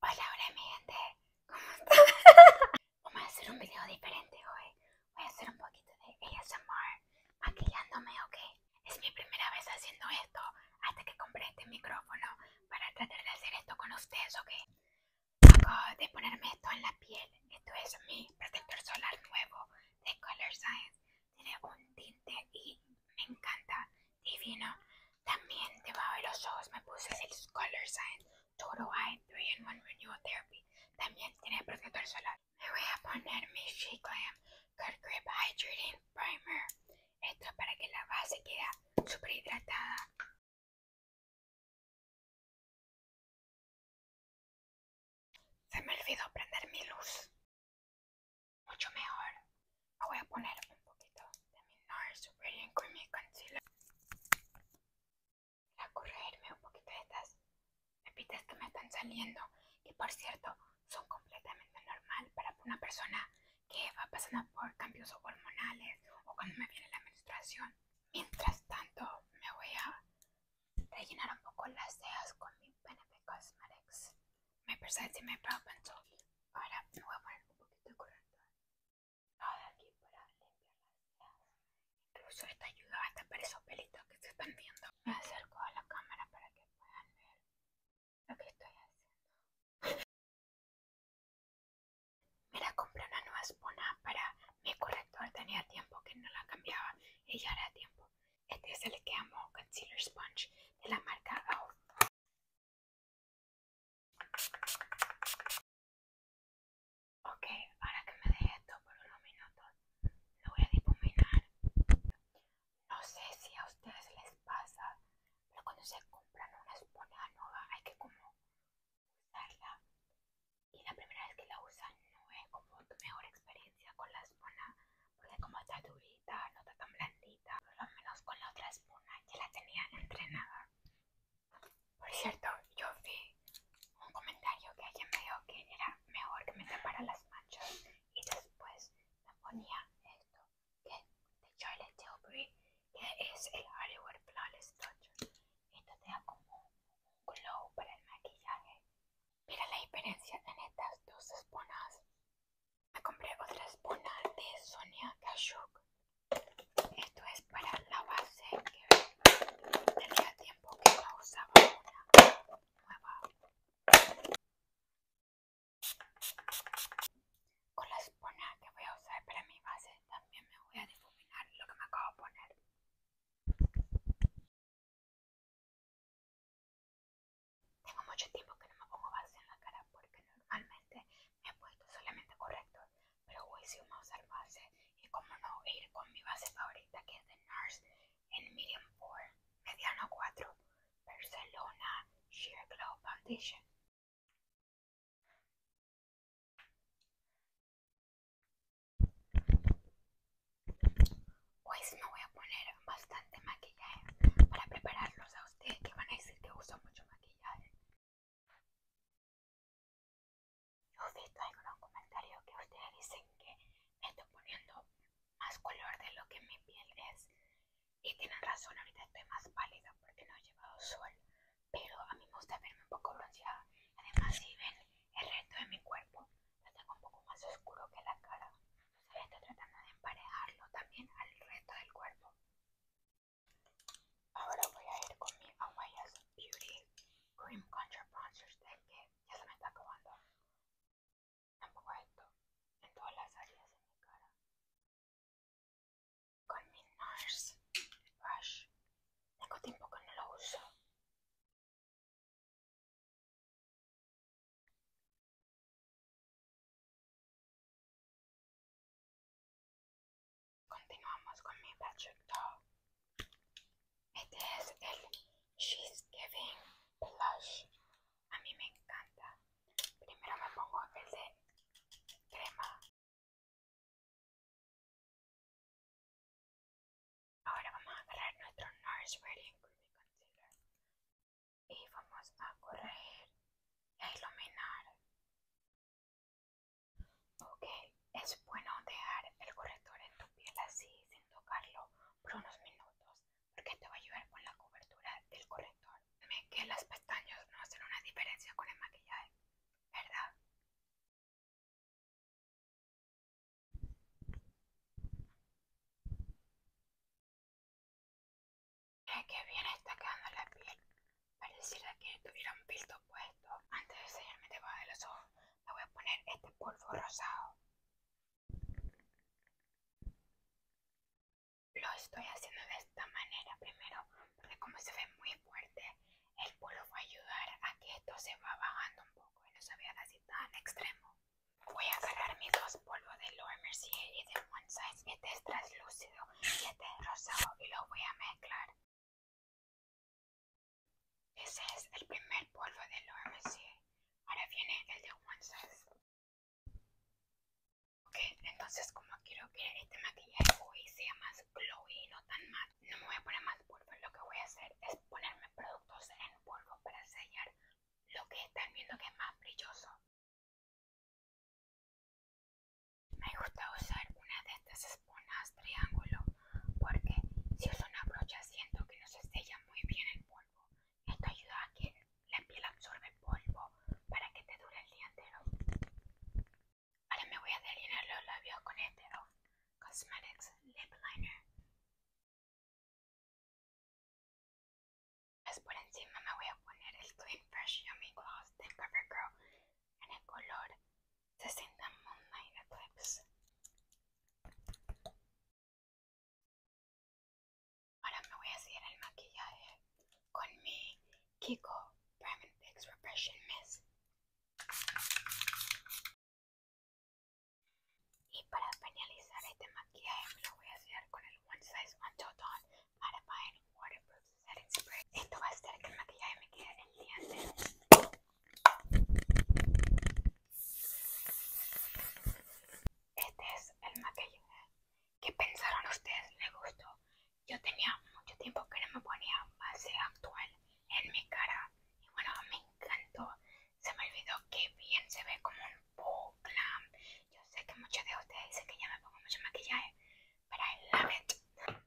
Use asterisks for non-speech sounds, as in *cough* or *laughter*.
Hola, hola mi gente, ¿cómo están? *laughs* Vamos a hacer un video diferente hoy. Voy a hacer un poquito de ASMR maquillándome, ¿ok? Es mi primera vez haciendo esto hasta que compré este micrófono para tratar de hacer esto con ustedes, ¿ok? Acabo de ponerme esto en la piel. Esto es mi protector solar nuevo de Color Science. Tiene un tinte y me encanta divino. También debajo de los ojos me puse el Color Science Total Eye 3 in 1 Renewal Therapy. También tiene protector solar. Me voy a poner mi She Glam Curl Grip Hydrating Primer. Esto es para que la base quede super hidratada. Se me olvidó prender mi luz mucho mejor. voy a poner un poquito de mi NARS Radiant Creamy Concealer para corregirme un poquito de estas pepitas que me están saliendo, que por cierto son completamente normal para una persona que va pasando por cambios hormonales o cuando me viene la menstruación. Mientras tanto, me voy a rellenar un poco las cejas con mi Benefit Cosmetics me presente y me propenso. Ahora me voy a poner un poquito de corrector Ahora aquí para limpiar las Incluso esta ayuda hasta para esos pelitos que se están viendo. Me acerco a la cámara para que puedan ver lo que estoy haciendo. Mira, compré una nueva espona para mi corrector. Tenía tiempo que no la cambiaba y ya era tiempo. Este es el que amo, Concealer Sponge de la marca Out. Ok, ahora que me deje esto por unos minutos, lo voy a difuminar. No sé si a ustedes les pasa, pero cuando se compran una esponja nueva hay que como usarla. Y la primera vez que la usan no es como tu mejor experiencia con la esponja porque como está durita, no está tan blandita, por lo menos con la otra espuma ya la tenía entrenada. Por cierto, yo vi un comentario que alguien me dijo que era mejor que me separara las manchas y después me ponía esto, que de Charlotte Tilbury, que es el Hollywood Flawless Touch. Esto te da como un glow para el maquillaje Mira la diferencia en estas dos esponas Me compré otra espona de Sonia Kashuk. Esto es para la base que tenía tiempo que no usaba una nueva. Con la espona que voy a usar para mi base también me voy a difuminar lo que me acabo de poner. Tengo mucho tiempo que no me pongo base en la cara porque normalmente me he puesto solamente correcto pero hoy sí vamos a usar base y como no ir con mi base favorita que es de NARS en Medium 4, Mediano 4, Barcelona Sheer Glow Foundation. Pues me voy a poner bastante maquillaje para prepararlos a ustedes que van a decir que uso mucho maquillaje. Yo he visto algunos comentarios que ustedes dicen que me estoy poniendo más color de lo que mi piel es. Y tienen razón, ahorita estoy más pálida porque no he llevado sol. Pero a mí me gusta verme un poco bronceada. Además, si ven el resto de mi cuerpo lo tengo un poco más oscuro que la cara. Entonces estoy tratando de emparejarlo también al resto del cuerpo. Ahora voy a ir con mi Awayas Beauty Cream Contour Bronzer Stick que ya se me está acabando. Tampoco esto en todas las áreas de mi cara. Con mi NARS Brush tengo tiempo que no lo uso. Continuamos con mi proyecto. Este es el She's Giving Blush. A mí me encanta. Primero me pongo el de crema Ahora vamos a agarrar nuestro Nurse ready Creamy Concealer y vamos a corregir y a iluminar. Ok, es bueno dejar el corrector en tu piel así sin tocarlo por unos minutos porque te va a ayudar con la cobertura del corrector. Dime que las pestañas no hacen una diferencia con el maquillaje. ¿verdad? que bien está quedando la piel. Pareciera que tuviera un filtro puesto. Antes de enseñarme debajo de los ojos, le voy a poner este polvo rosado lo estoy haciendo de esta manera primero porque como se ve muy fuerte el polvo va a ayudar a que esto se va bajando un poco y no se vea así tan extremo voy a agarrar mis dos polvos de Laura Mercier y de One Size este es translúcido y este es rosado y lo voy a mezclar ese es el primer polvo de Laura Mercier ahora viene el de One Size Ok, entonces como quiero que este maquillaje hoy sea más glowy, no tan matte, no me voy a poner más polvo. Lo que voy a hacer es ponerme productos en polvo para sellar lo que están viendo que es más brilloso. Me gusta usar una de estas esponjas triángulo porque si uso una brocha siento que no se sella muy bien el polvo. Esto ayuda a que la piel absorbe polvo para que te dure el día entero. Ahora me voy a delinear los labios con este Cosmetics Lip Liner. Después pues por encima me voy a poner el Clean Fresh Yummy Gloss de CoverGirl en el color 60 Moonlight Eclipse. Ahora me voy a hacer el maquillaje con mi Kiko Prime and Fix Repression Mist. Y para finalizar este maquillaje me lo voy a hacer con el One Size Until Dawn Mattifying Waterproof Setting Spray. Esto va a hacer que el maquillaje me quede en dientes. Este es el maquillaje ¿Qué pensaron ustedes? ¿Le gustó? Yo tenía mucho tiempo que no me ponía base actual en mi cara. Y bueno, me encantó. Se me olvidó que bien se ve como un po' Yo sé que muchos de ustedes dicen que ya me pongo mucho maquillaje, pero I love